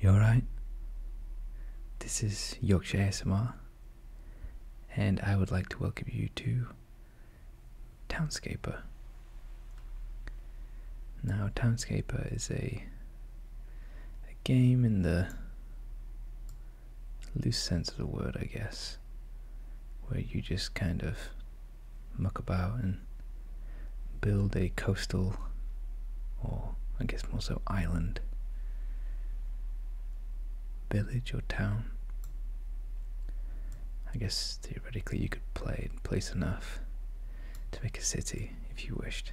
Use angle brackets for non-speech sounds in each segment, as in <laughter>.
You are right. This is Yorkshire ASMR, and I would like to welcome you to Townscaper. Now, Townscaper is a, a game in the loose sense of the word, I guess, where you just kind of muck about and build a coastal, or I guess more so island, village or town. I guess theoretically you could play place enough to make a city if you wished.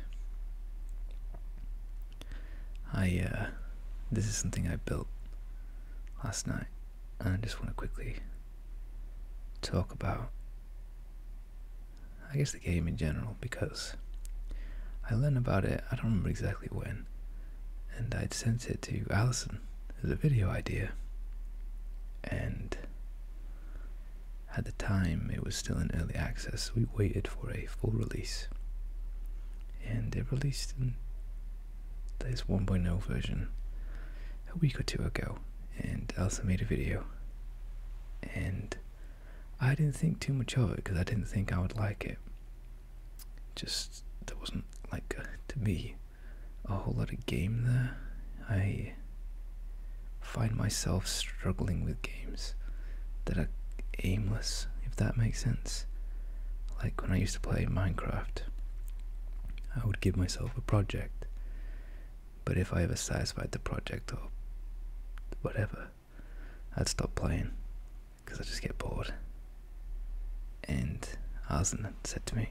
I uh, this is something I built last night, and I just want to quickly talk about I guess the game in general, because I learned about it, I don't remember exactly when, and I'd sent it to Allison as a video idea. And at the time, it was still in early access, we waited for a full release. And it released in this 1.0 version a week or two ago, and Allison made a video. And I didn't think too much of it because I didn't think I would like it. Just there wasn't like to me a whole lot of game there. I find myself struggling with games that are aimless, if that makes sense. Like when I used to play Minecraft, I would give myself a project but if I ever satisfied the project or whatever, I'd stop playing because I just get bored. And Aslan said to me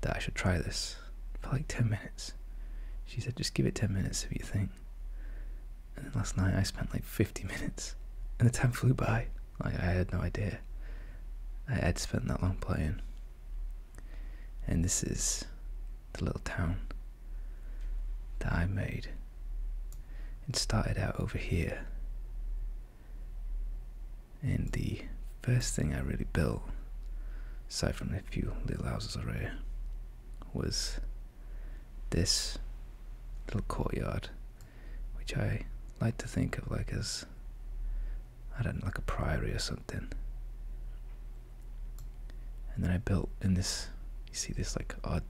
that I should try this for like 10 minutes. She said, just give it 10 minutes if you think. And last night I spent like 50 minutes and the time flew by. Like I had no idea. I had spent that long playing. And this is the little town that I made. It started out over here. And the first thing I really built, aside from a few little houses already, was this little courtyard, which I like to think of like as, I don't know, like a priory or something. And then I built in this, you see this like odd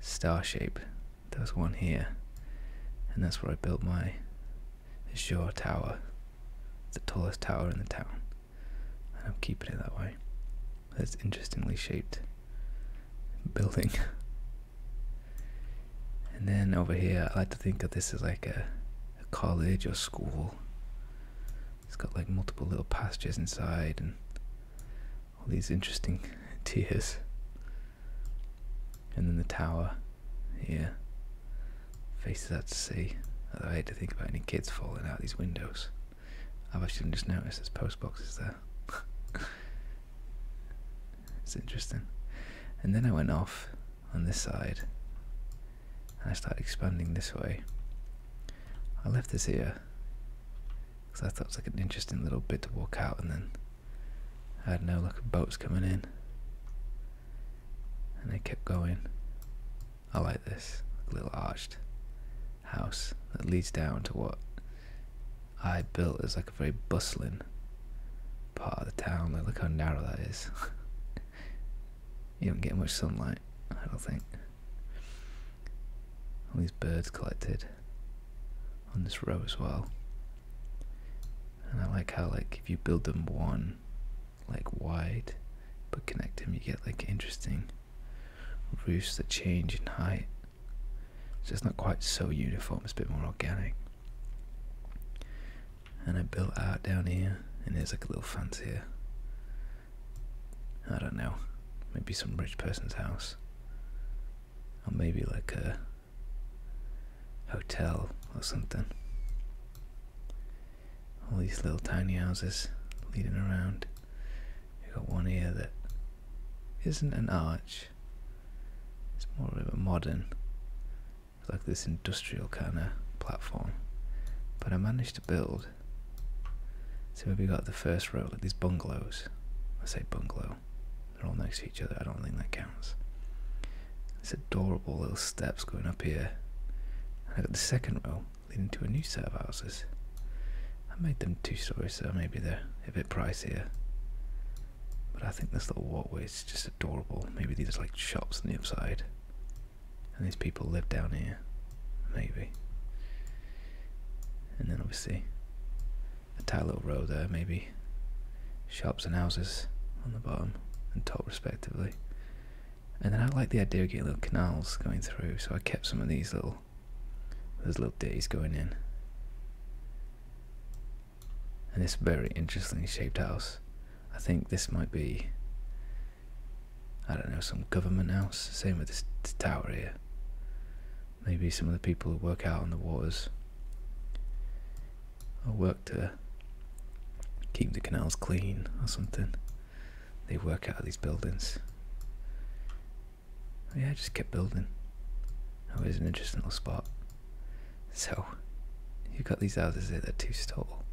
star shape. There was one here, and that's where I built my Azure Tower, the tallest tower in the town. And I'm keeping it that way. It's interestingly shaped building. <laughs> and then over here, I like to think of this as like a college or school. It's got like multiple little passages inside and all these interesting <laughs> tiers. And then the tower here faces out to sea. I hate to think about any kids falling out these windows. I've actually just noticed there's post boxes there. <laughs> it's interesting. And then I went off on this side I started expanding this way. I left this here because I thought it was like an interesting little bit to walk out, and then I had no look at boats coming in, and they kept going. I like this little arched house that leads down to what I built is like a very bustling part of the town. look how narrow that is. <laughs> you don't get much sunlight, I don't think. All these birds collected on this row as well. And I like how like if you build them one like wide but connect them you get like interesting roofs that change in height. So it's not quite so uniform, it's a bit more organic. And I built out down here and there's like a little fancier I don't know, maybe some rich person's house, or maybe like a hotel or something. All these little tiny houses leading around. You got one here that isn't an arch. It's more of a modern, like this industrial kind of platform. But I managed to build so we have got the first row, like these bungalows. I say bungalow. They're all next to each other. I don't think that counts. These adorable little steps going up here. And I got the second row leading to a new set of houses. I made them two stories, so maybe they're a bit pricier. But I think this little walkway is just adorable. Maybe these are like shops on the upside. And these people live down here, maybe. And then obviously a tight little row there, maybe shops and houses on the bottom and top respectively. And then I like the idea of getting little canals going through, so I kept some of these little those little ditties going in. And this very interestingly shaped house. I think this might be I don't know, some government house. Same with this tower here. Maybe some of the people who work out on the waters or work to keep the canals clean or something. They work out of these buildings. Oh yeah, just keep building. Oh, it's an interesting little spot. So, you've got these houses here, they're too tall.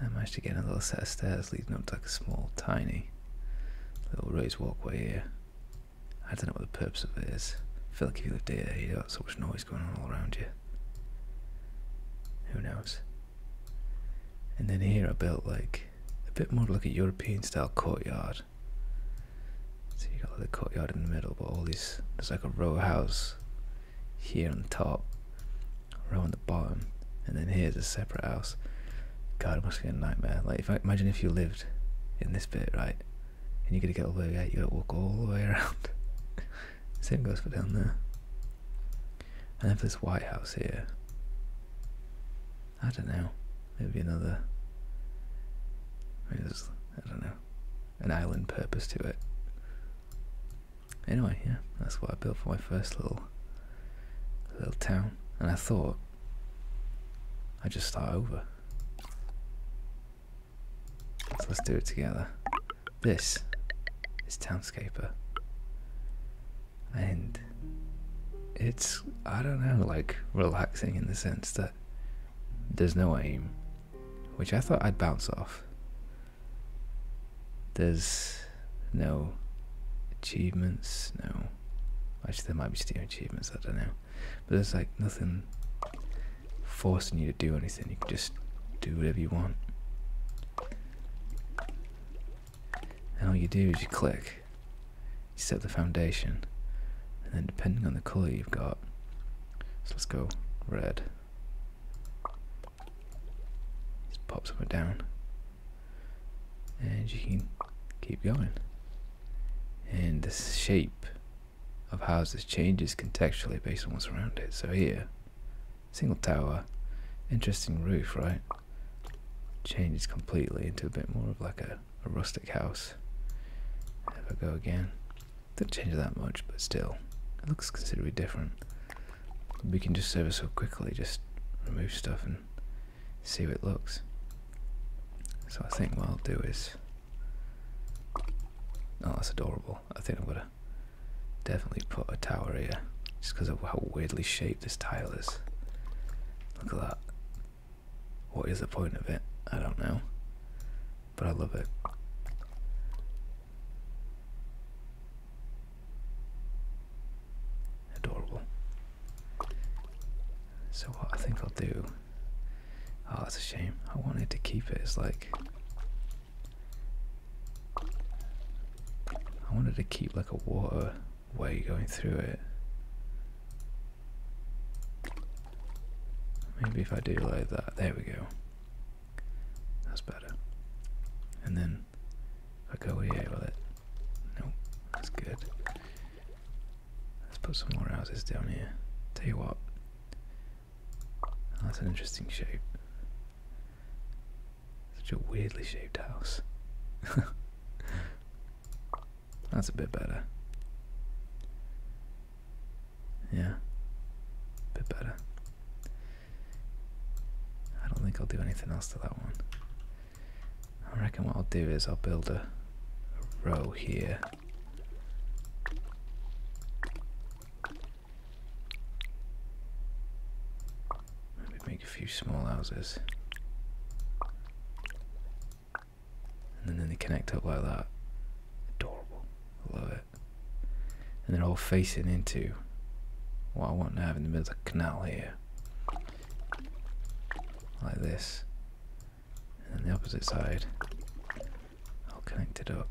I am actually getting a little set of stairs leading up to like a small, tiny little raised walkway here. I don't know what the purpose of it is. feel like if you live here, you'd have so much noise going on all around you. Who knows? And then here I built like a bit more like a European style courtyard. So you got like the courtyard in the middle, but all these there's like a row house here on top, row on the bottom, and then here's a separate house. God, it must be a nightmare. Like, if I, imagine if you lived in this bit, right, and you gotta get all the way out, you gotta walk all the way around. <laughs> Same goes for down there. And then for this White House here, I don't know, maybe another. there's, I don't know, an island purpose to it anyway, yeah, that's what I built for my first little little town. And I thought I'd just start over. So let's do it together. This is Townscaper. And it's, I don't know, like relaxing in the sense that there's no aim, which I thought I'd bounce off. There's no achievements, no. Actually, there might be Steam achievements, I don't know. But there's like nothing forcing you to do anything, you can just do whatever you want. And all you do is you click, you set the foundation, and then depending on the colour you've got, so let's go red. Just pop somewhere down and you can keep going and the shape of houses changes contextually based on what's around it so here single tower interesting roof right changes completely into a bit more of like a, a rustic house if I go again didn't change that much but still it looks considerably different we can just ever so quickly just remove stuff and see how it looks. So I think what I'll do is, oh that's adorable, I think I'm gonna definitely put a tower here, just because of how weirdly shaped this tile is. Look at that. What is the point of it? I don't know, but I love it. Adorable. So what I think I'll do. Oh, that's a shame. I wanted to keep it as like. I wanted to keep like a water way going through it. Maybe if I do like that, there we go. That's better. And then I'll go here oh, with it. Nope, that's good. Let's put some more houses down here. Tell you what, that's an interesting shape. Such a weirdly shaped house. <laughs> that's a bit better. Yeah, a bit better. I don't think I'll do anything else to that one. I reckon what I'll do is I'll build a, row here. Maybe make a few small houses. And then they connect up like that. Adorable. love it. And they're all facing into do. What I want to have in the middle of the canal here. Like this. And the opposite side. I'll connect it up.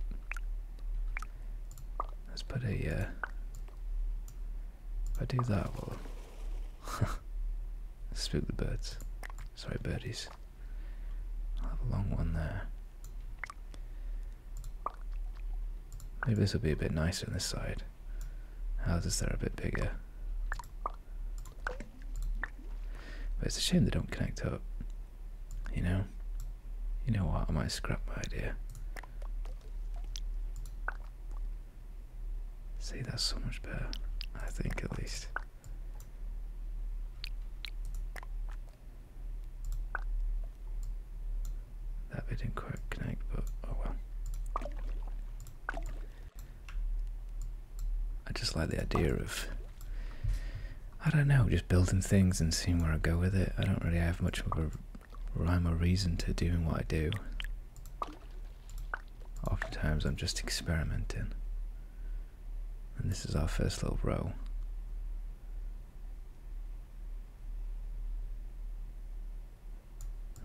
Let's put a uh, if I do that well <laughs> spook the birds. Sorry birdies. i have a long one there. Maybe this will be a bit nicer on this side. Houses that are a bit bigger. But it's a shame they don't connect up. You know? You know what? I might scrap my idea. See, that's so much better. I think, at least. That didn't quite connect, but oh well. I just like the idea of, I don't know, just building things and seeing where I go with it. I don't really have much of a rhyme or reason to doing what I do. Oftentimes I'm just experimenting. And this is our first little row.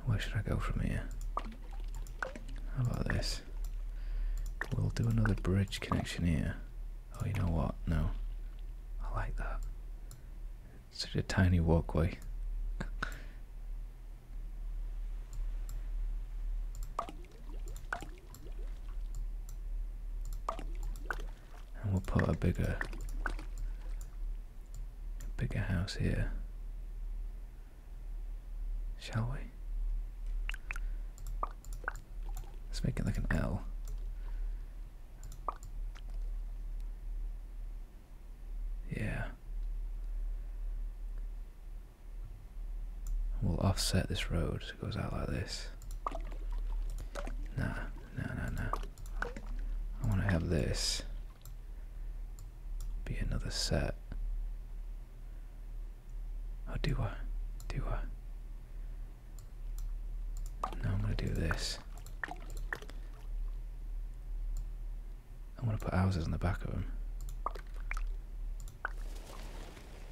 Where should I go from here? How about this? We'll do another bridge connection here. Oh, you know what? No. I like that. It's such a tiny walkway and we'll put a bigger bigger house here shall we let's make it like an L yeah we'll offset this road so it goes out like this nah nah nah nah I want to have this be another set. Oh, do I? Do I? No, I'm going to do this. I want to put houses on the back of them.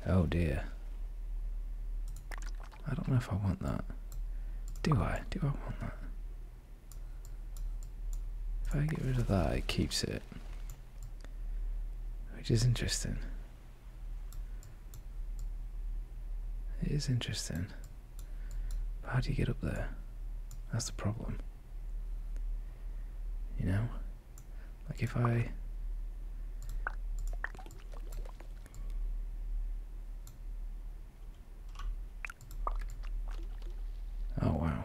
Oh dear. I don't know if I want that. Do I? Do I want that? If I get rid of that, it keeps it, which is interesting. It is interesting. But how do you get up there? That's the problem. You know? Like if I. Oh wow.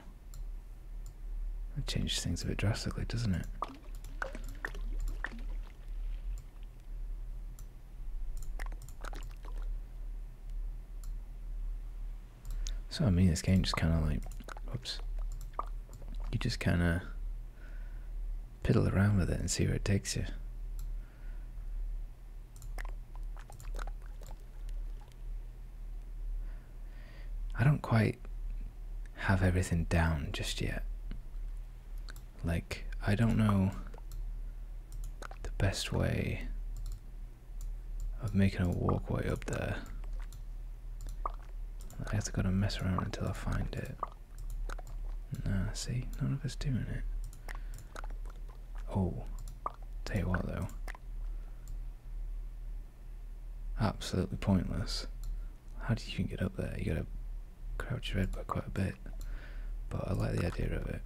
That changes things a bit drastically, doesn't it? So I mean this game just kinda like oops. You just kinda piddle around with it and see where it takes you. I don't quite have everything down just yet. Like, I don't know the best way of making a walkway up there. I have to go and mess around until I find it. Nah, see, none of us doing it. Oh, tell you what though. Absolutely pointless. How do you even get up there? You gotta crouch your head by quite a bit. But I like the idea of it.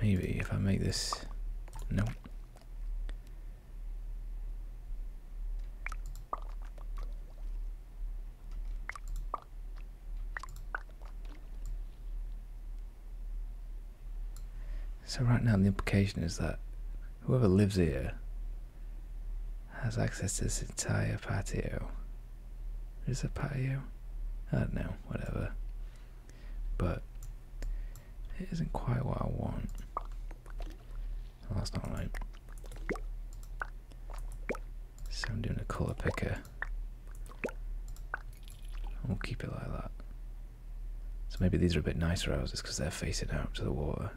Maybe if I make this... No. So right now the implication is that whoever lives here has access to this entire patio. Is it patio? I don't know, whatever. But it isn't quite what I want. that's not right. So I'm doing a colour picker. We'll keep it like that. So maybe these are a bit nicer houses because they're facing out to the water.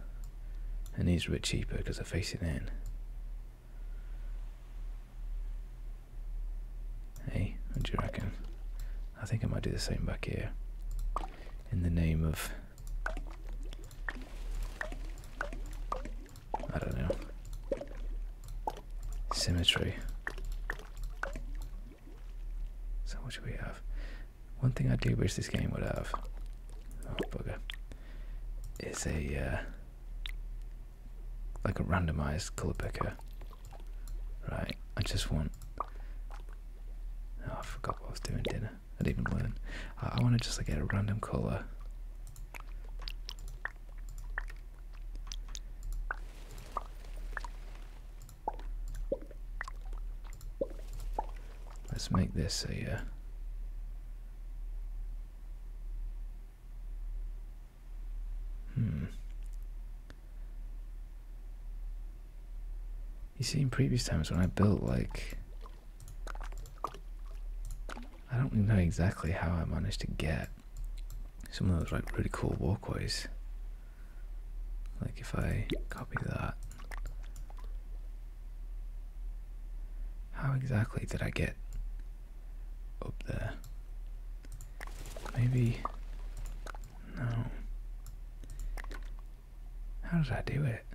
And these are a bit cheaper because they're facing in. Hey, what do you reckon? I think I might do the same back here. In the name of I don't know. Symmetry. So what do we have? One thing I do wish this game would have. Oh bugger. Is a uh, like a randomized colour picker. Right, I just want oh, I forgot what I was doing dinner. I didn't even learn. I, I wanna just like get a random colour Let's make this a. Uh, hmm. You see, in previous times when I built like I don't know exactly how I managed to get some of those like pretty cool walkways. Like if I copy that. How exactly did I get up there? Maybe no. How does I do it?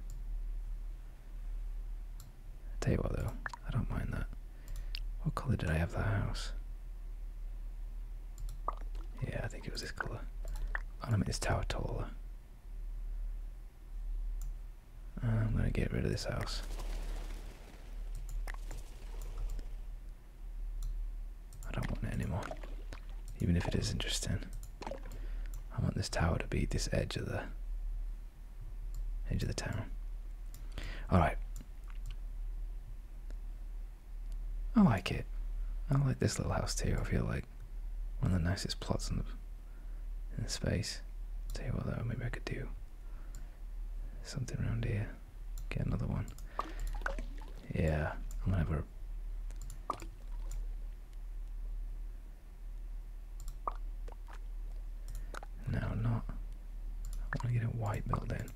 I'll tell you what though, I don't mind that. What color did I have the house? Yeah, I think it was this color. I'm going make this tower taller. Uh, I'm gonna get rid of this house. I don't want it anymore. Even if it is interesting. I want this tower to be this edge of the into the town. All right. I like it. I like this little house too. I feel like one of the nicest plots in the in the space. i tell you what though, maybe I could do something around here. Get another one. Yeah, I'm gonna have a no, not. I want to get a white building.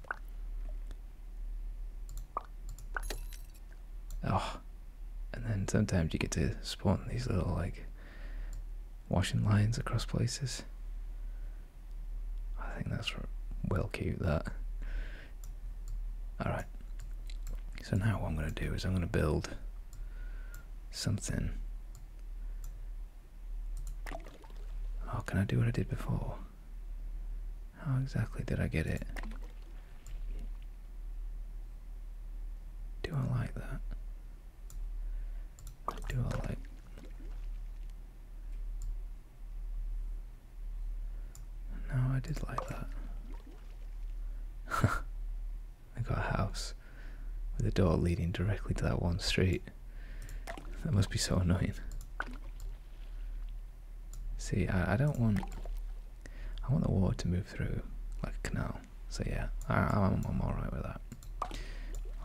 Oh, and then sometimes you get to spawn these little like washing lines across places. I think that's well cute. That. All right. So now what I'm going to do is I'm going to build something Oh, can I do what I did before? How exactly did I get it? Do I like that? Do I like... No, I did like that. <laughs> I got a house with a door leading directly to that one street. That must be so annoying. See, I, don't want... I want the water to move through like a canal. So yeah, I, am I'm alright with that.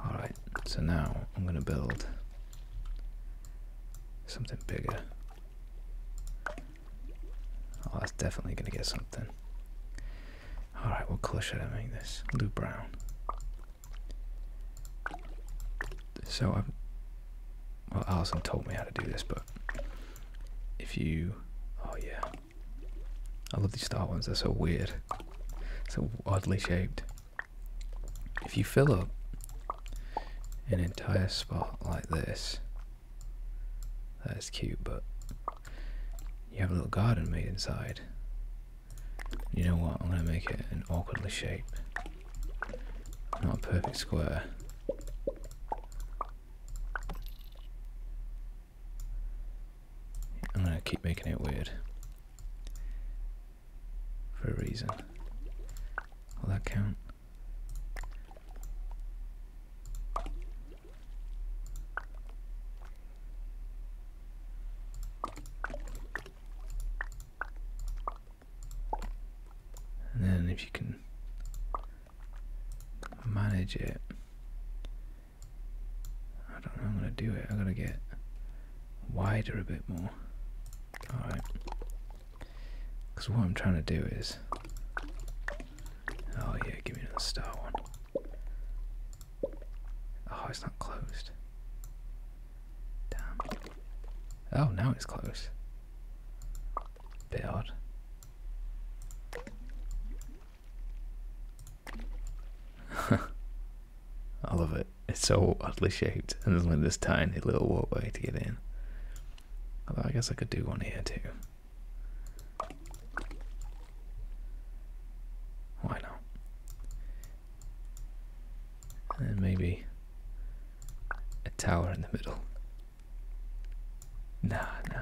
Alright, so now I'm going to build something bigger. Oh, that's definitely going to get something. Alright, right, we'll close should I make this? Blue brown. So I've well Alison told me how to do this, but if you oh yeah. I love these star ones, they're so weird. So oddly shaped. If you fill up an entire spot like this, that is cute, but you have a little garden made inside. You know what? I'm going to make it an awkwardly shape. Not a perfect square. I'm going to keep making it weird. For a reason. Will that count? And then if you can manage it, I don't know I'm going to do it. I'm going to get wider a bit more. Alright. Because what I'm trying to do is. Oh, yeah, give me another star one. Oh, it's not closed. Damn. Oh, now it's closed. Bit odd. <laughs> I love it. It's so oddly shaped, and there's only this tiny little walkway to get in. I guess I could do one here too. Why not? And maybe a tower in the middle. Nah, nah.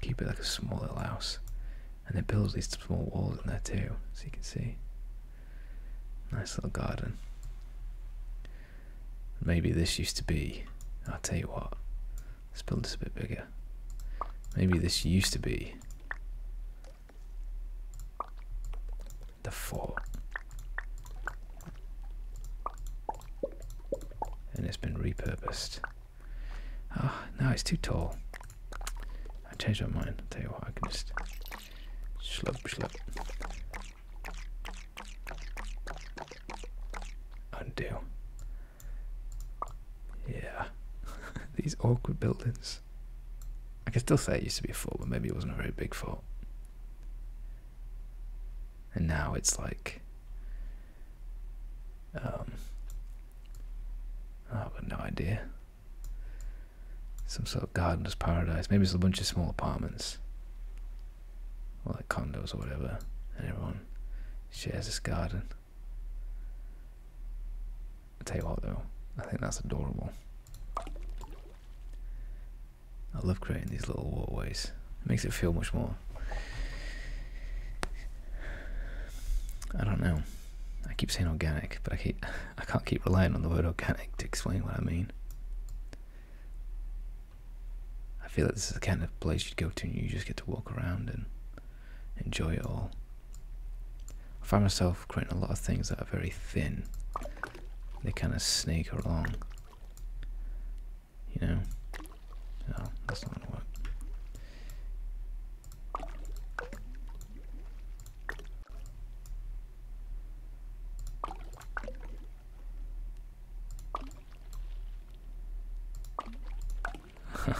Keep it like a small little house. And they build these small walls in there too, so you can see. Nice little garden. Maybe this used to be. I'll tell you what. Let's build this a bit bigger. Maybe this used to be the fort. And it's been repurposed. Oh, ah, now it's too tall. I changed my mind. I'll tell you what, I can just slurp, slurp. Undo. Yeah. <laughs> These awkward buildings. I can still say it used to be a fort, but maybe it wasn't a very big fort. And now it's like. Um, oh, I've got no idea. Some sort of gardener's paradise. Maybe it's a bunch of small apartments. Or like condos or whatever. And everyone shares this garden. I tell you what though, I think that's adorable. I love creating these little waterways. It makes it feel much more. I don't know. I keep saying organic, but I keep <laughs> I can't keep relying on the word organic to explain what I mean. I feel like this is the kind of place you'd go to and you just get to walk around and enjoy it all. I find myself creating a lot of things that are very thin. They kind of snake along. You know? No, that's not gonna work. <laughs>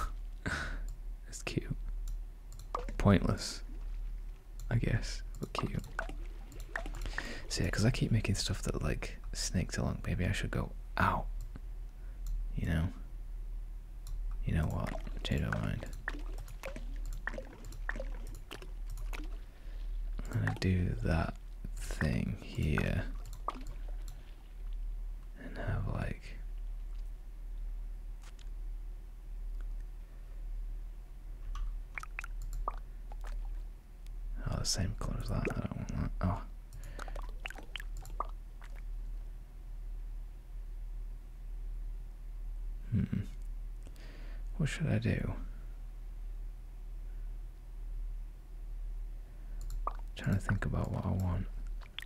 it's cute. Pointless, I guess, but cute. So yeah, because I keep making stuff that like snakes along. Maybe I should go out. You know. You know what? Change my mind. I'm gonna do that thing here and have like oh the same color as that I don't want oh hmm what should I do trying to think about what I want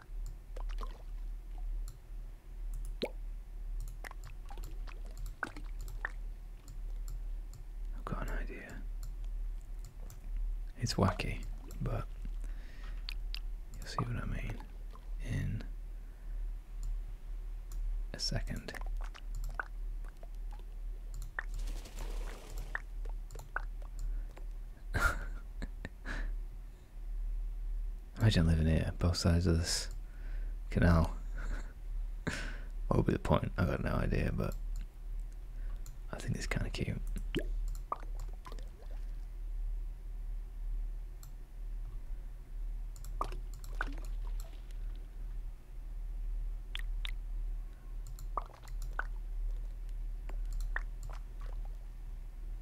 I've got an idea. It's wacky, but you'll see what I mean in a second. <laughs> Imagine living here, both sides of this canal. <laughs> what would be the point? I've got no idea, but I think it's kind of cute.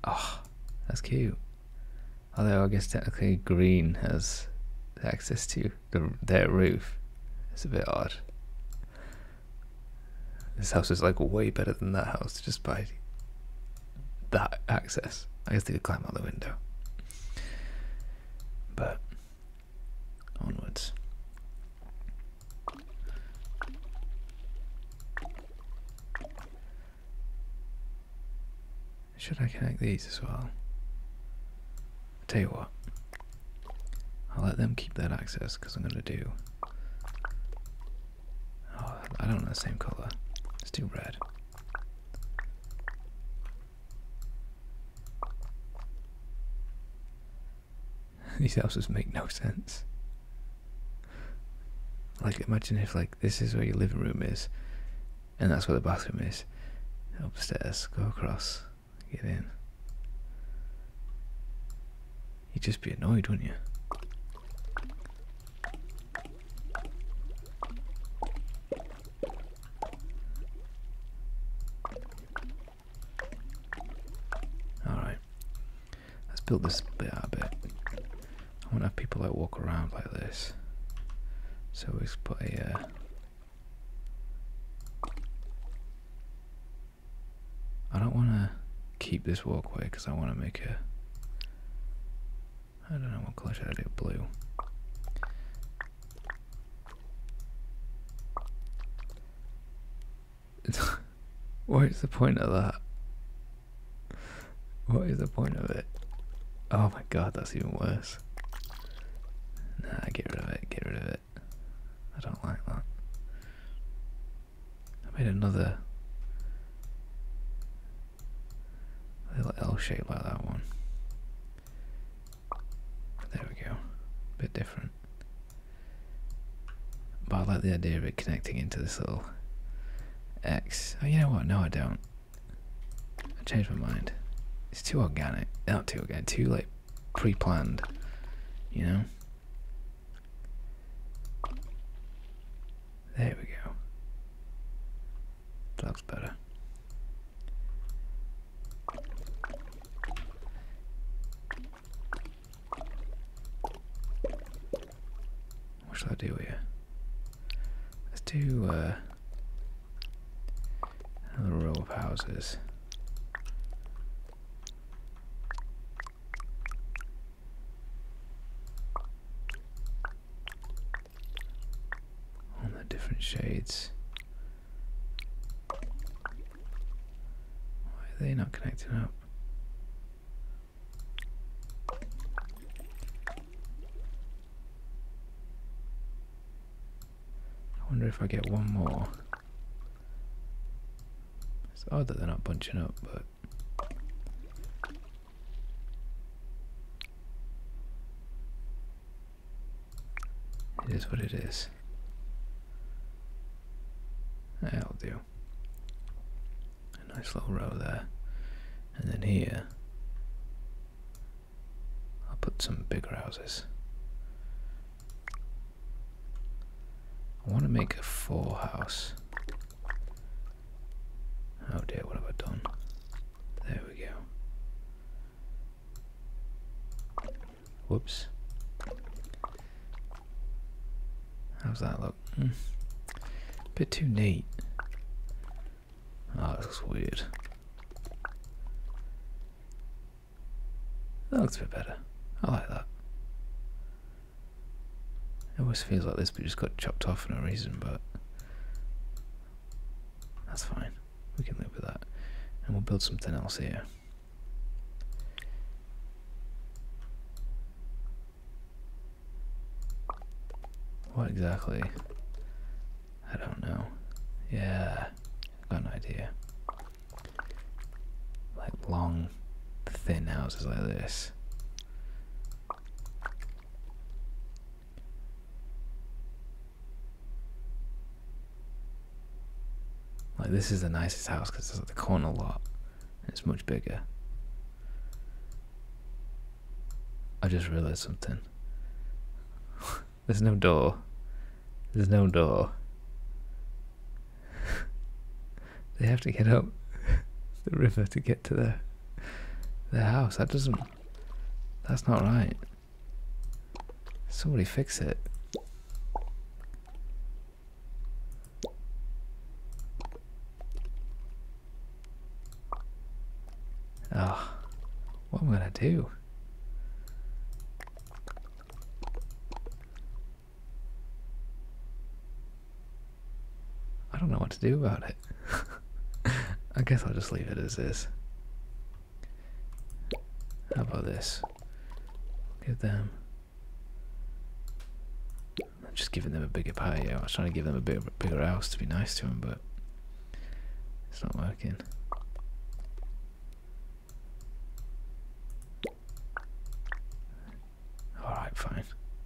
Oh, that's cute. Although I guess technically green has access to their roof. It's a bit odd. This house is like way better than that house just by that access. I guess they could climb out the window. But onwards. Should I connect these as well? I'll tell you what, I'll let them keep that access because I'm going to do. Oh, I don't want the same color. Let's do red. <laughs> These houses make no sense. Like imagine if like this is where your living room is, and that's where the bathroom is. Upstairs, go across, get in. You'd just be annoyed, wouldn't you? All right. Let's build this bit a bit. I want to have people like walk around like this. So we just put a. Uh, don't want to keep this walkway because I want to make a. I don't know what colour should I do. Blue. <laughs> What's the point of that? What is the point of it? Oh my god, that's even worse. Nah, get rid of it, get rid of it. I don't like that. I made another little L shape like that one. There we go. A bit different. But I like the idea of it connecting into this little X. Oh, you know what? No, I don't. I changed my mind. It's too organic. Not too organic. Too, like, pre-planned. You know? There we go. That looks better. What shall I do here? Let's do uh, a row of houses. All the different shades. Why are they not connecting up? I wonder if I get one more. It's odd that they're not bunching up, but... It is what it is. That'll do. A nice little row there. And then here, I'll put some bigger houses. I want to make a four house. Oh dear, what have I done? There we go. Whoops. How's that look? up. Bit too neat. Oh, that looks weird. That looks a bit better. I like that. It always feels like this, but just got chopped off for no reason, but that's fine. We can live with that. And we'll build something else here. What exactly? I don't know. Yeah, got an idea. Like long, thin houses like this. Like this is the nicest house because it's at the corner lot. it's much bigger. I just realized something. <laughs> There's no door. There's no door. <laughs> they have to get up <laughs> the river to get to their their house. That doesn't that's not right. Somebody fix it. Oh, what am I gonna do? I don't know what to do about it. <laughs> I guess I'll just leave it as is. How about this? Give them just giving them a bigger patio. I was trying to give them a bigger, bigger house to be nice to them, but it's not working. Alright, fine.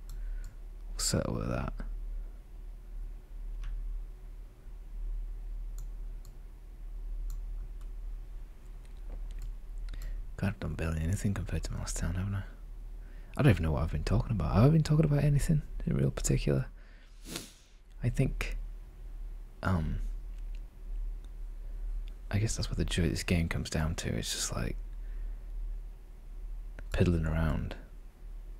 We'll settle with that. God, not done barely anything compared to my last town, haven't I? I don't even know what I've been talking about. Have I been talking about anything in real particular? I think, um, I guess that's what the joy of this game comes down to. It's just like piddling around,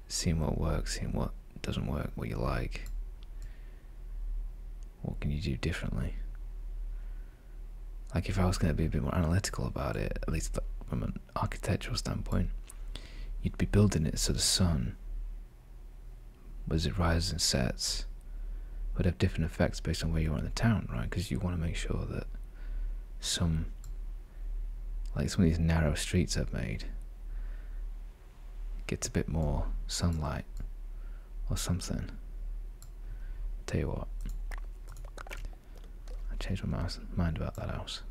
seeing what works, seeing what doesn't work, what you like. What can you do differently? Like if I was going to be a bit more analytical about it, at least the moment architectural standpoint, you'd be building it so the sun, as it rises and sets, would have different effects based on where you are in the town, right? Because you want to make sure that some, like some of these narrow streets I've made, gets a bit more sunlight or something. Tell you what, I changed my mind about that house.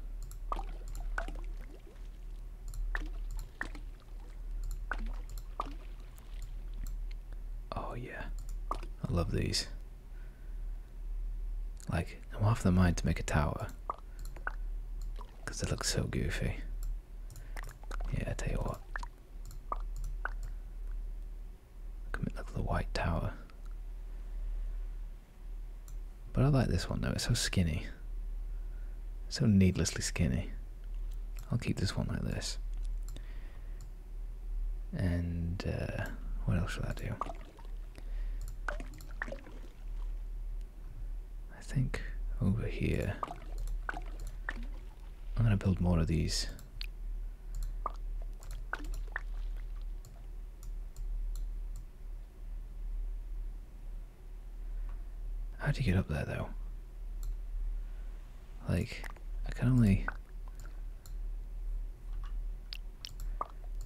Oh yeah, I love these. Like, I'm off the mind to make a tower. Because it looks so goofy. Yeah, I tell you what. Come Look at the white tower. But I like this one though, it's so skinny. So needlessly skinny. I'll keep this one like this. And uh, what else should I do? I think over here, I'm going to build more of these. How do you get up there, though? Like, I can only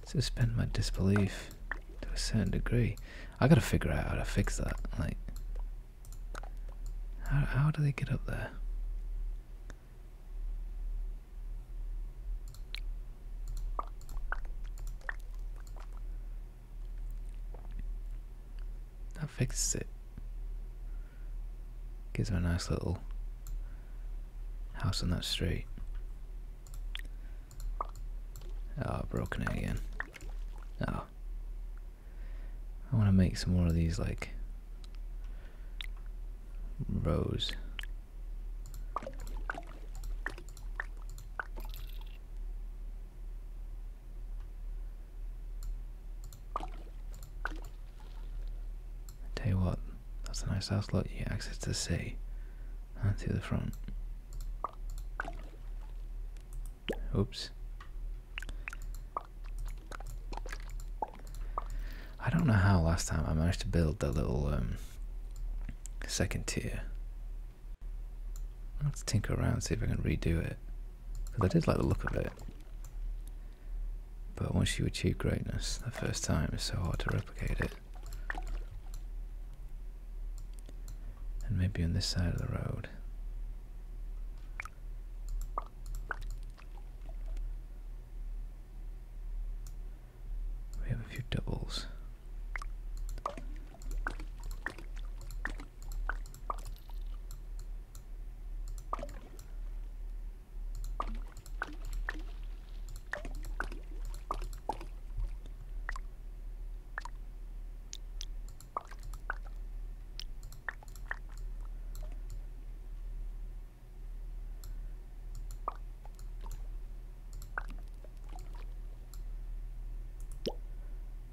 suspend my disbelief to a certain degree. I gotta figure out how to fix that. Like, how, do they get up there? That fixes it. Gives her a nice little house on that street. oh, broken it again. Oh. I want to make some more of these, like, Rose. tell you what, that's a nice house lot. You access the sea and to the front. Oops. I don't know how last time I managed to build the little um, second tier. Let's tinker around and see if I can redo it. Because I did like the look of it. But once you achieve greatness the first time, is so hard to replicate it. And maybe on this side of the road. We have a few doubles.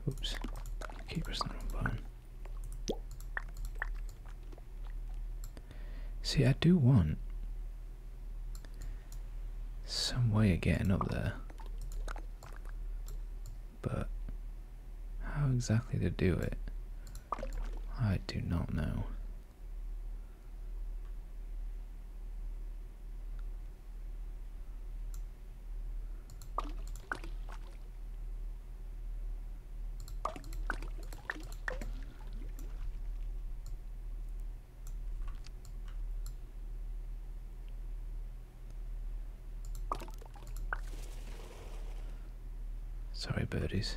Oops, keep pressing the See, I do want some way of getting up there, but how exactly to do it, I do not know. Sorry, birdies.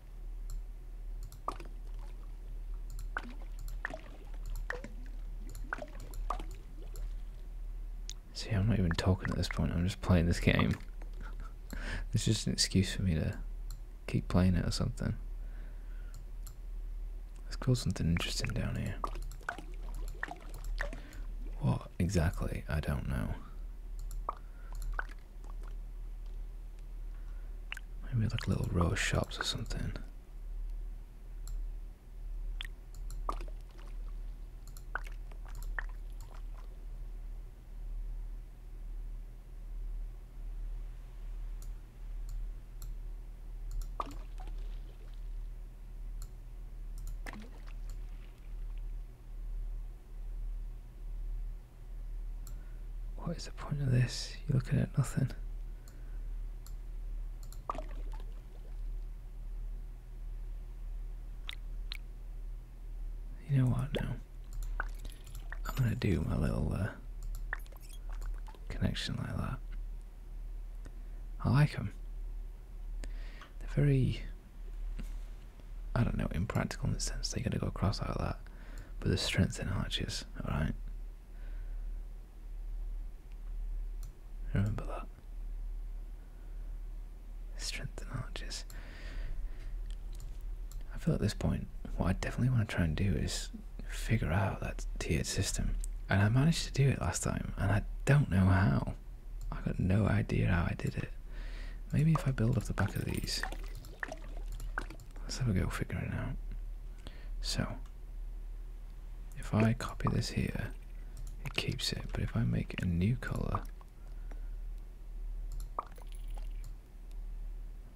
See, I'm not even talking at this point, I'm just playing this game. <laughs> it's just an excuse for me to keep playing it or something. Let's call something interesting down here. What exactly? I don't know. Maybe like little row shops or something. What is the point of this? You're looking at nothing. You know what now? I'm gonna do my little uh, connection like that. I like them. They're very, I don't know, impractical in the sense they're gonna go across like that but the strength in arches, alright? Remember that. Strength in arches. I feel at this point, what I definitely want to try and do is figure out that tiered system. And I managed to do it last time, and I don't know how. I got no idea how I did it. Maybe if I build off the back of these, Let's have a go figuring it out. So, if I copy this here, it keeps it, but if I make a new colour,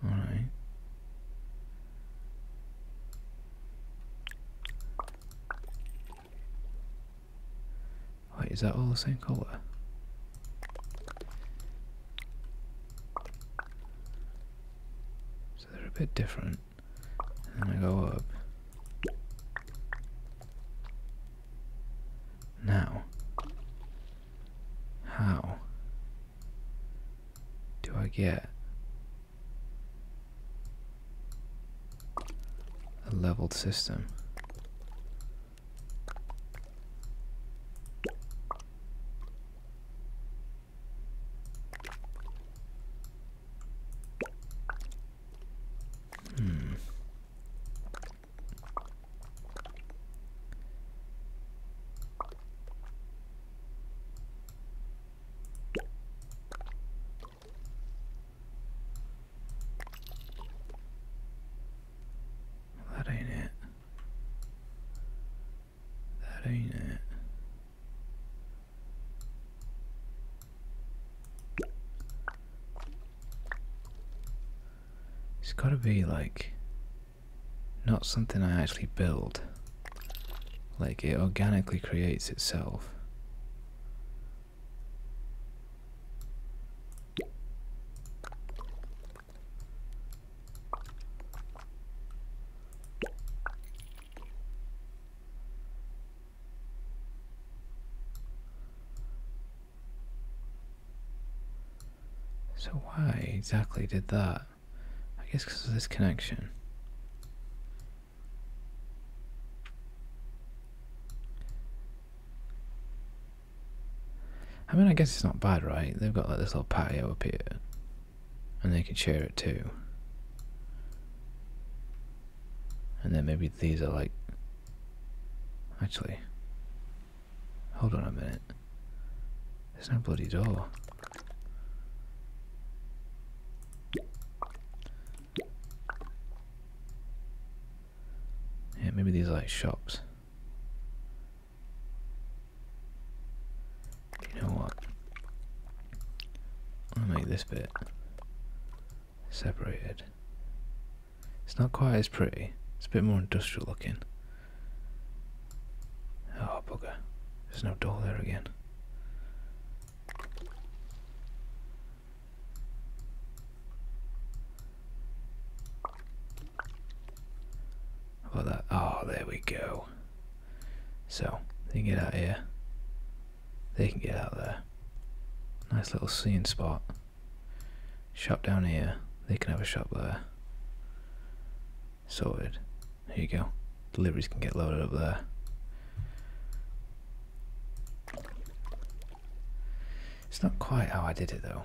alright. Wait, is that all the same colour? So they're a bit different. And I go up. Now, how do I get a leveled system? Hmm. That ain't it. That ain't it. It's gotta be like not something I actually build. Like it organically creates itself. So why exactly did that? I guess because of this connection. I mean, I guess it's not bad, right? They've got like this little patio up here, and they can share it too. And then maybe these are like. Actually, hold on a minute. There's no bloody door. Yeah, maybe these are like shops. You know what? I'm make this bit separated. It's not quite as pretty. It's a bit more industrial looking. Oh bugger. There's no door there again. How about Oh, there we go. So, they can get out here. They can get out there. Nice little seeing spot. Shop down here. They can have a shop there. Sorted. There you go. Deliveries can get loaded up there. It's not quite how I did it though.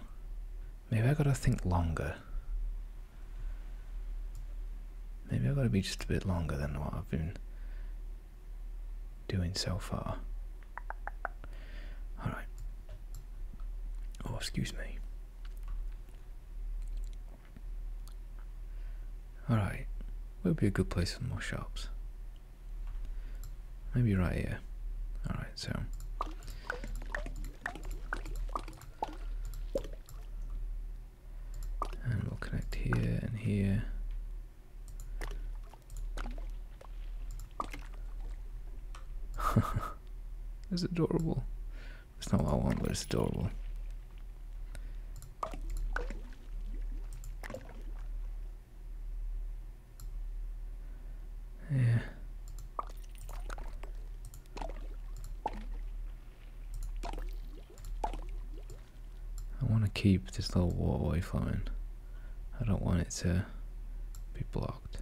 Maybe I gotta think longer. Maybe I gotta be just a bit longer than what I've been doing so far. Alright. Oh, excuse me. Alright. Where would be a good place for more shops? Maybe right here. Alright, so. And we'll connect here and here. <laughs> it's adorable. It's not what I want, but it's adorable. Yeah. I want to keep this little waterway flowing. I don't want it to be blocked.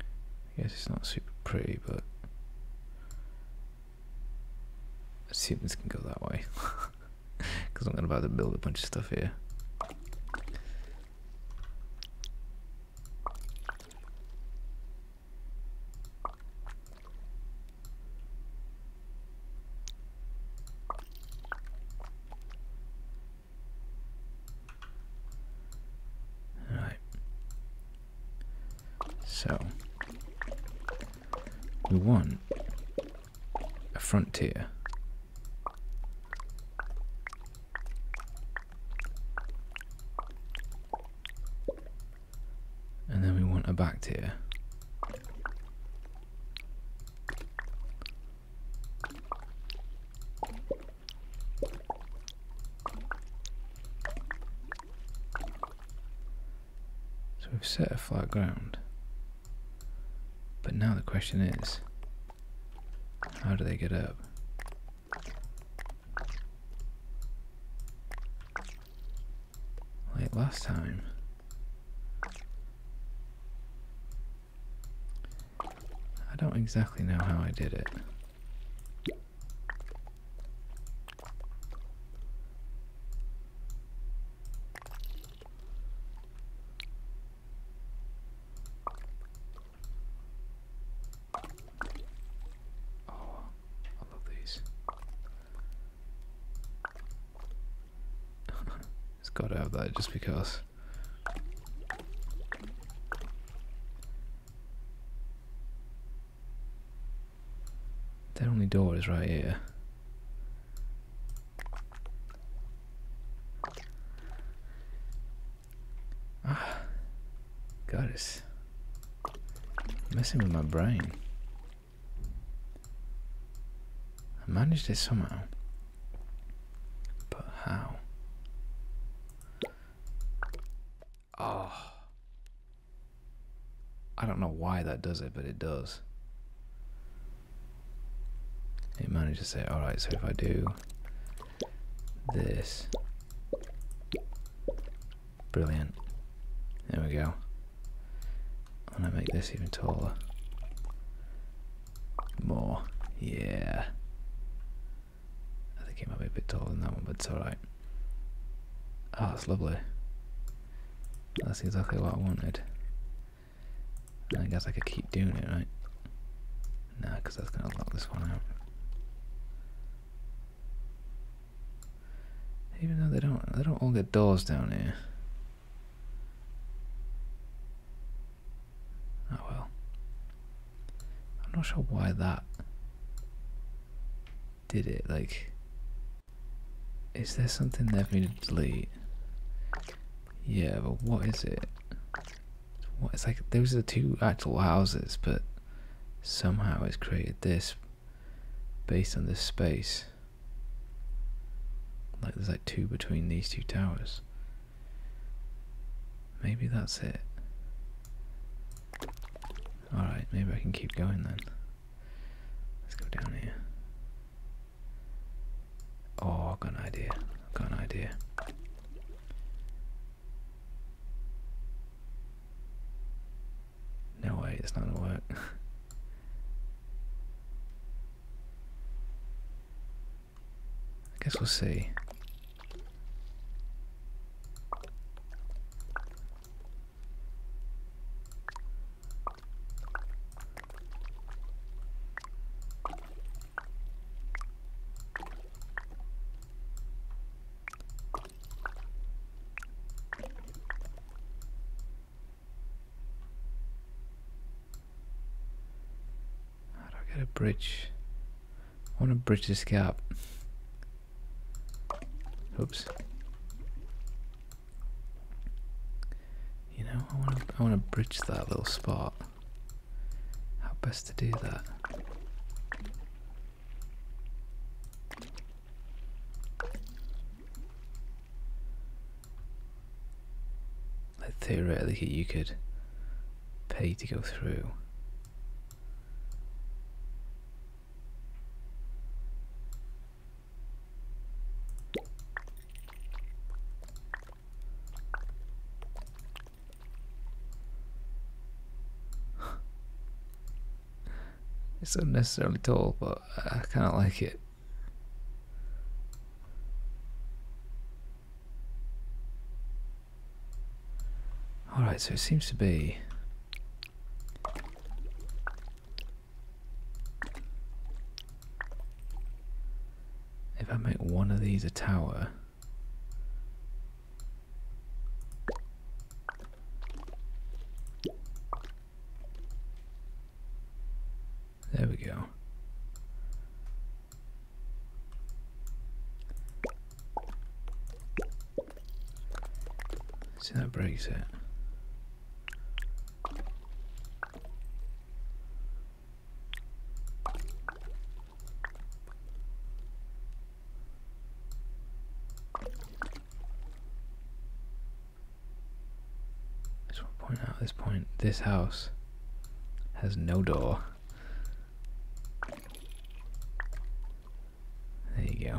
I guess it's not super pretty, but I assume this can go that way. Because <laughs> I'm going to have to build a bunch of stuff here. All right. So we want a frontier and then we want a back bacteria. So we've set a flat ground. But now the question is, how do they get up? Like last time. I don't exactly know how I did it. Oh, I love these. <laughs> it's got to have that just because. Their only door is right here. Ah, God is messing with my brain. I managed it somehow, but how? Oh, I don't know why that does it, but it does. It managed to say, alright, so if I do this Brilliant. There we go. I'm gonna make this even taller. More. Yeah. I think it might be a bit taller than that one, but it's alright. Oh, that's lovely. That's exactly what I wanted. I guess I could keep doing it, right? Nah, because that's going to lock this one out. Even though they don't, they don't all get doors down here. Oh well. I'm not sure why that did it. Like, is there something left for me to delete? Yeah, but what is it? it's like? Those are two actual houses, but somehow it's created this based on this space. Like there's like two between these two towers. Maybe that's it. Alright, maybe I can keep going then. Let's go down here. Oh, I've got an idea. got an idea. No way, it's not gonna work. <laughs> I guess we'll see. How do I get a bridge? I want to bridge this gap. Oops. You know, I want to, I want to bridge that little spot how best to do that. Like theoretically, you could pay to go through. <laughs> it's unnecessarily tall, but I kind of like it. Alright, so it seems to be... If I make one of these a tower... There we go. See, that breaks it just want to point out at this point, this house has no door. There you go.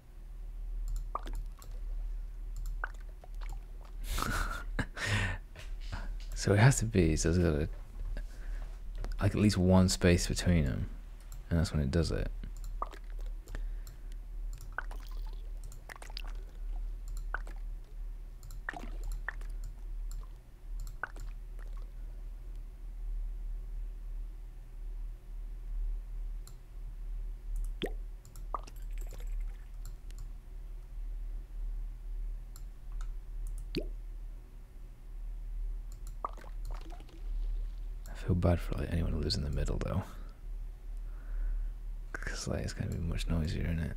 <laughs> so it has to be, so there's got like at least one space between them. And that's when it does it. I feel bad for like anyone who in the middle though. Cause like it's gonna be much noisier, in it?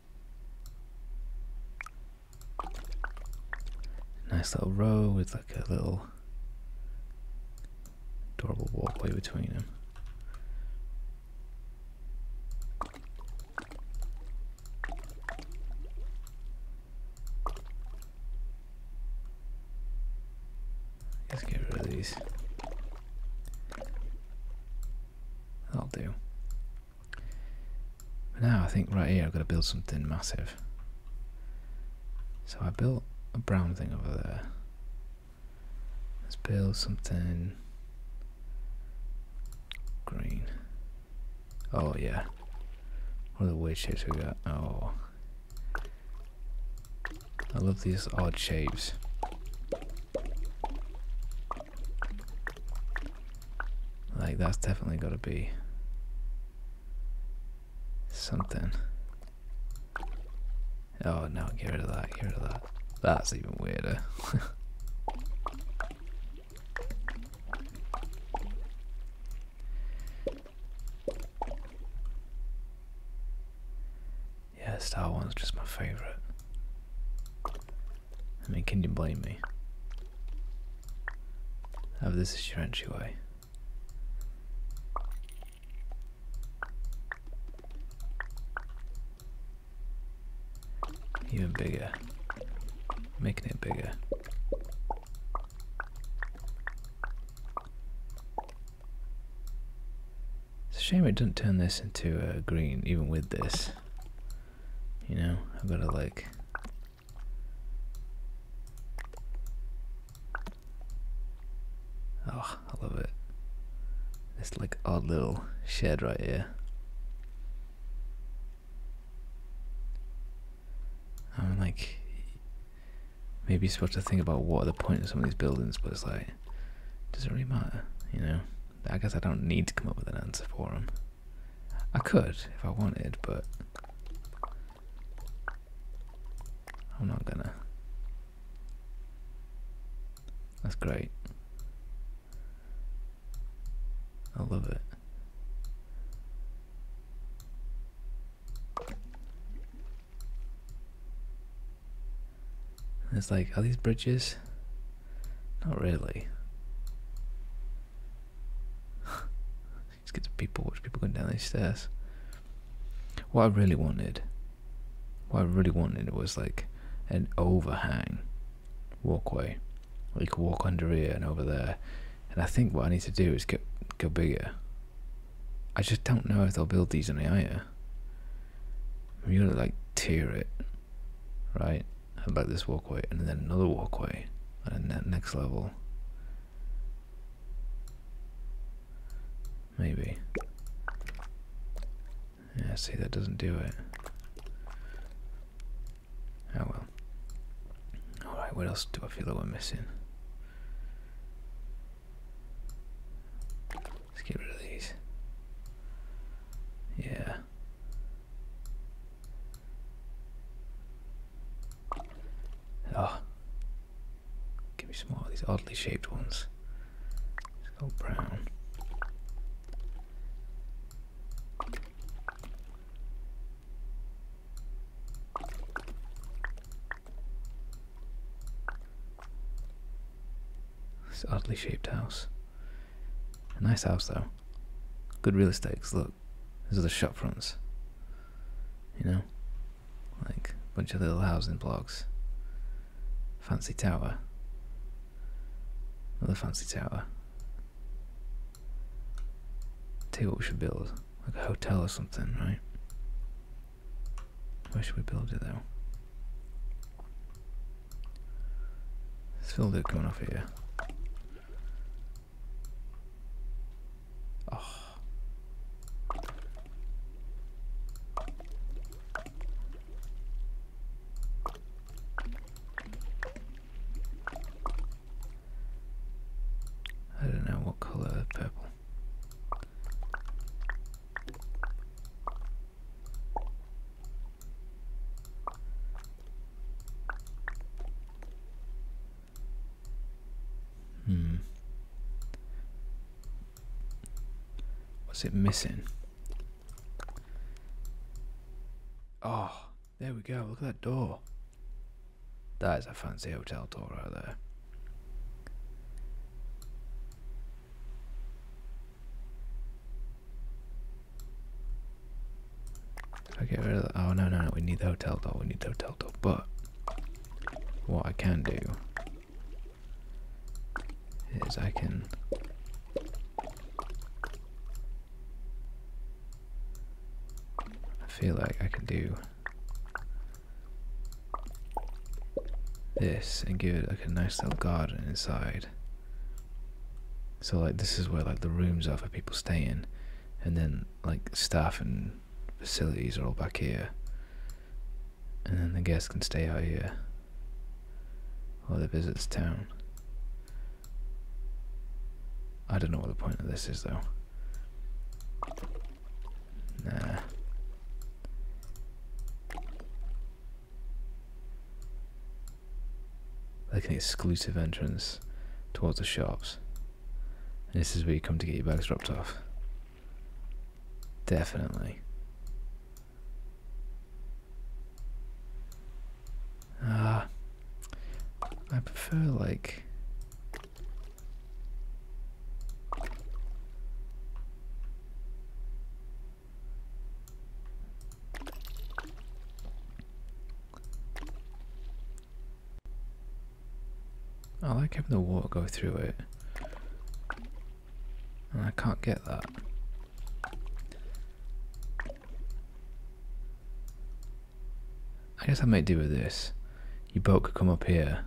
Nice little row with like a little adorable walkway between them. Let's get rid of these. That'll do. But now I think right here I've got to build something massive. So I built a brown thing over there. Let's build something green. Oh yeah. What are the weird shapes we got? Oh. I love these odd shapes. Like, that's definitely got to be something. Oh no, get rid of that, get rid of that. That's even weirder. Yeah, Star Wars just my favourite. I mean, can you blame me? Have oh, this is your entryway. Even bigger. Making it bigger. It's a shame it didn't turn this into a uh, green, even with this. You know, I've got to like... Oh, I love it. This like odd little shed right here. I'm like, maybe supposed to think about what are the point of some of these buildings, but it's like, does it really matter? You know, I guess I don't need to come up with an answer for them. I could if I wanted, but I'm not gonna. That's great. I love it it's like, are these bridges? Not really. Just get to people, watch people going down these stairs. What I really wanted, what I really wanted was like an overhang walkway. Where you could walk under here and over there. And I think what I need to do is get go bigger. I just don't know if i will build these on the higher. You gotta like tear it right i like this walkway and then another walkway and then that next level maybe yeah see that doesn't do it oh well alright what else do I feel like we're missing Let's get rid of these. Yeah. Oh. Give me some more of these oddly shaped ones. Let's brown. This oddly shaped house nice house though. Good real estate. Cause look, these are the shop fronts. You know, like a bunch of little housing blocks. Fancy tower. Another fancy tower. Tell what we should build, like a hotel or something, right? Where should we build it though? There's filter coming off here. Oh. I don't know what colour purple. Hmm. What's it missing? Oh, there we go. Look at that door. That is a fancy hotel door right I get rid of Oh, no, no, no. We need the hotel door. We need the hotel door. But what I can do is I can. I feel like I can do this and give it like a nice little garden inside. So like this is where like the rooms are for people staying, and then like staff and facilities are all back here, and then the guests can stay out here or they visit the town. I don't know what the point of this is though. Nah like an exclusive entrance towards the shops. this is where you come to get your bags dropped off. Definitely. Ah, I prefer like. I like having the water go through it. And I can't get that. I guess I might do with this. Your boat could come up here,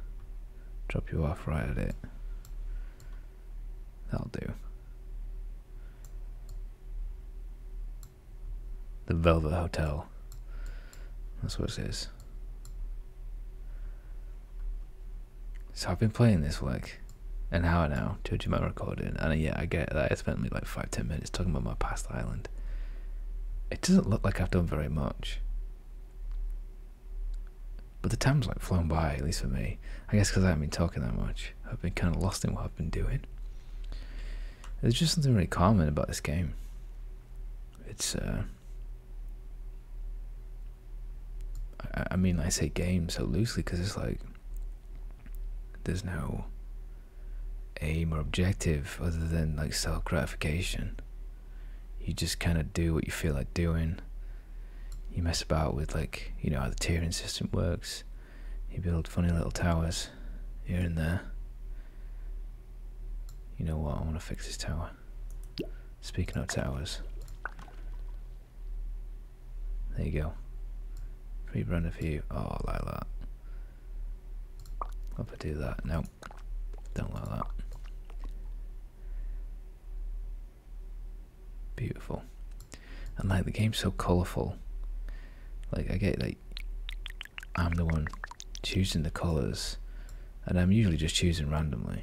drop you off right at it. That'll do. The Velvet Hotel. That's what it says. So I've been playing this for like an hour now, to do my recording, and uh, yeah, I get that I spent me like five, ten minutes talking about my past island. It doesn't look like I've done very much. But the time's like flown by, at least for me. I guess because I haven't been talking that much. I've been kind of lost in what I've been doing. There's just something really common about this game. It's, uh. I mean, I say game so loosely because it's like. There's no aim or objective other than like self gratification. You just kind of do what you feel like doing you mess about with like you know how the tiering system works you build funny little towers here and there you know what I want to fix this tower speaking of towers there you go free run of you oh like that what if I do that no don't like that Beautiful. And like the game's so colourful. Like I get like I'm the one choosing the colours and I'm usually just choosing randomly.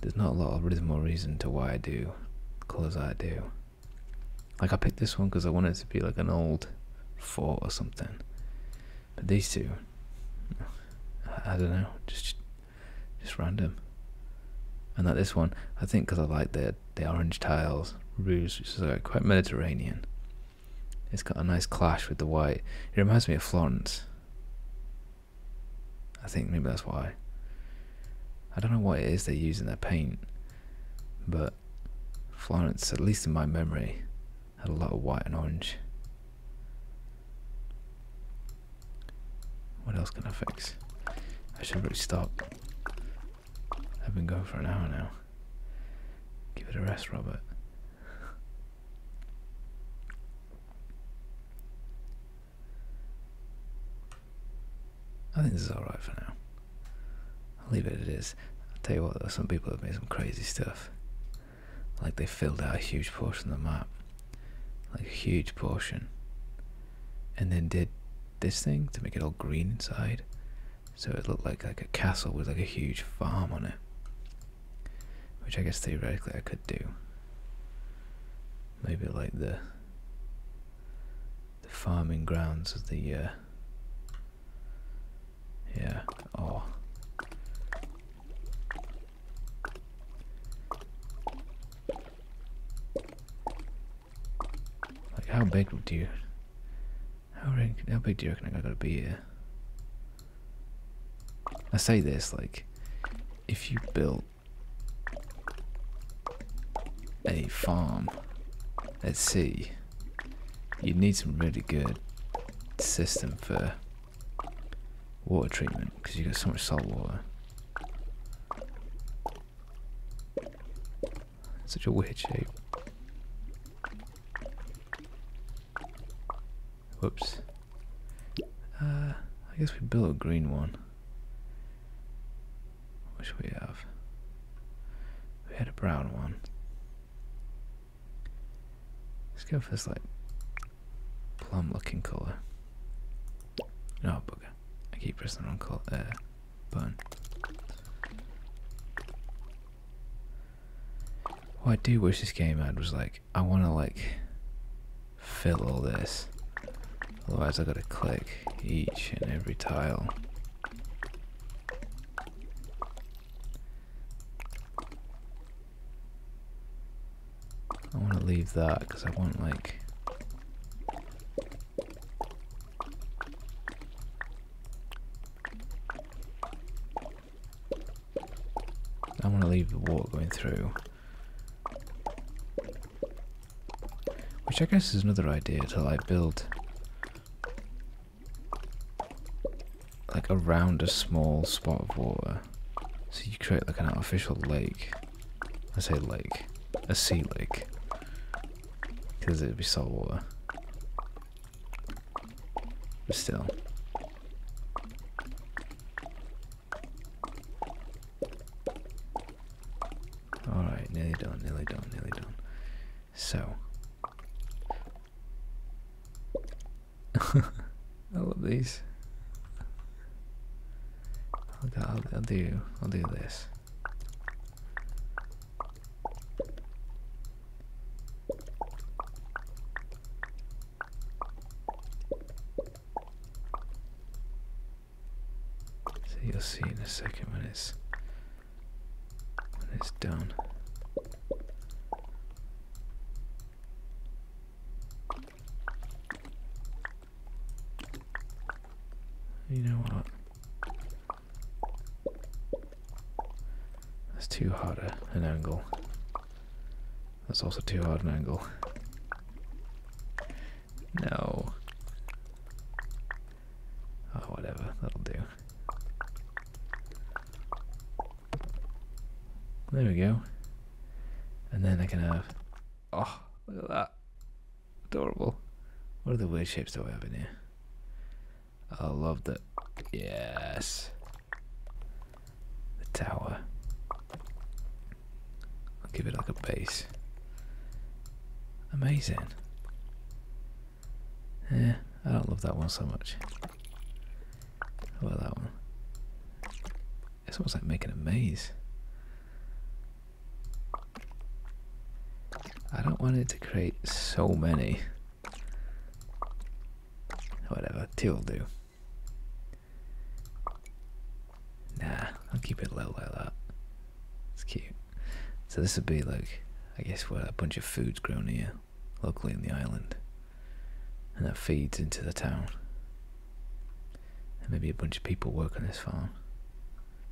There's not a lot of rhythm or reason to why I do colours I do. Like I picked this one because I wanted it to be like an old fort or something. But these two, I don't know, just just random. And that this one, I think because I like the the orange tiles, rouge, which is like quite Mediterranean. It's got a nice clash with the white. It reminds me of Florence. I think maybe that's why. I don't know what it is they use in their paint, but Florence, at least in my memory, had a lot of white and orange. What else can I fix? I should really stop. I've been going for an hour now. Give it a rest, Robert. I think this is alright for now. I'll leave it as it is. I'll tell you what though, some people have made some crazy stuff. Like they filled out a huge portion of the map like a huge portion, and then did this thing to make it all green inside, so it looked like like a castle with like a huge farm on it, which I guess theoretically I could do. Maybe like the the farming grounds of the uh, yeah or like how big do you how big how do you reckon I gotta be here? I say this like if you built a farm let's see, you'd need some really good system for water treatment because you get so much salt water. Such a weird shape. Whoops. Uh, I guess we built a green one. What we have? We had a brown one. Let's go for this light plum looking colour. No, bugger. I keep pressing the wrong colour, uh, button. I do wish this game had was like, I want to like fill all this. Otherwise I gotta click each and every tile. I want to leave that because I want like I want to leave the water going through which I guess is another idea to like build like around a small spot of water so you create like an artificial lake. I say lake. A sea lake. Because it'd be salt water. still. Alright, nearly done, nearly done, nearly done. So. <laughs> I love these. I'll, do. I'll do this. So you'll see in a second when it's when it's done. You know what? That's too hard an angle. That's also too hard an angle. No. Oh, whatever. That'll do. There we go. And then I can have Oh, look at that. Adorable. What are the weird shapes that we have in here? I love that. Yes. The tower. I'll give it like a base. Amazing. Yeah, I don't love that one so much. How about that one? It's almost like making a maze. I don't want it to create so many. Whatever, two will do. Nah, I'll keep it low low, that. It's cute. So this would be like, I guess what a bunch of food's grown here, locally in the island. And that feeds into the town maybe a bunch of people work on this farm.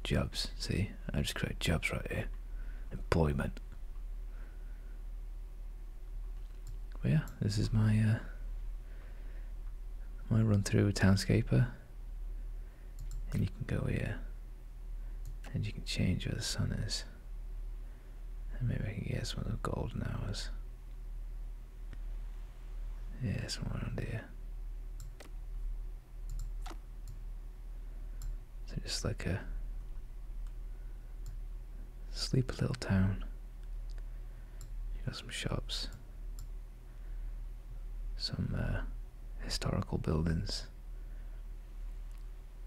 Jobs, see? I just create jobs right here. Employment. But yeah, this is my uh, my run through Townscaper. And you can go here. And you can change where the sun is. maybe I can get some of the golden hours. Yeah, somewhere more here. So just like a sleepy little town. got some shops, some uh, historical buildings,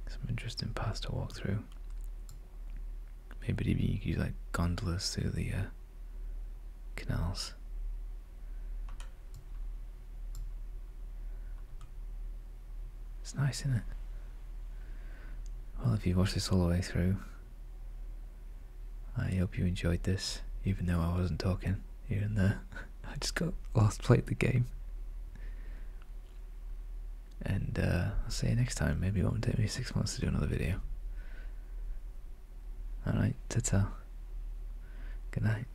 some interesting paths to walk through. Maybe even you could use like gondolas through the uh, canals. It's nice, isn't it? Well, if you watched this all the way through, I hope you enjoyed this, even though I wasn't talking here and there. <laughs> I just got lost, played the game. And uh, I'll see you next time. Maybe it won't take me six months to do another video. Alright, ta-ta. Good night.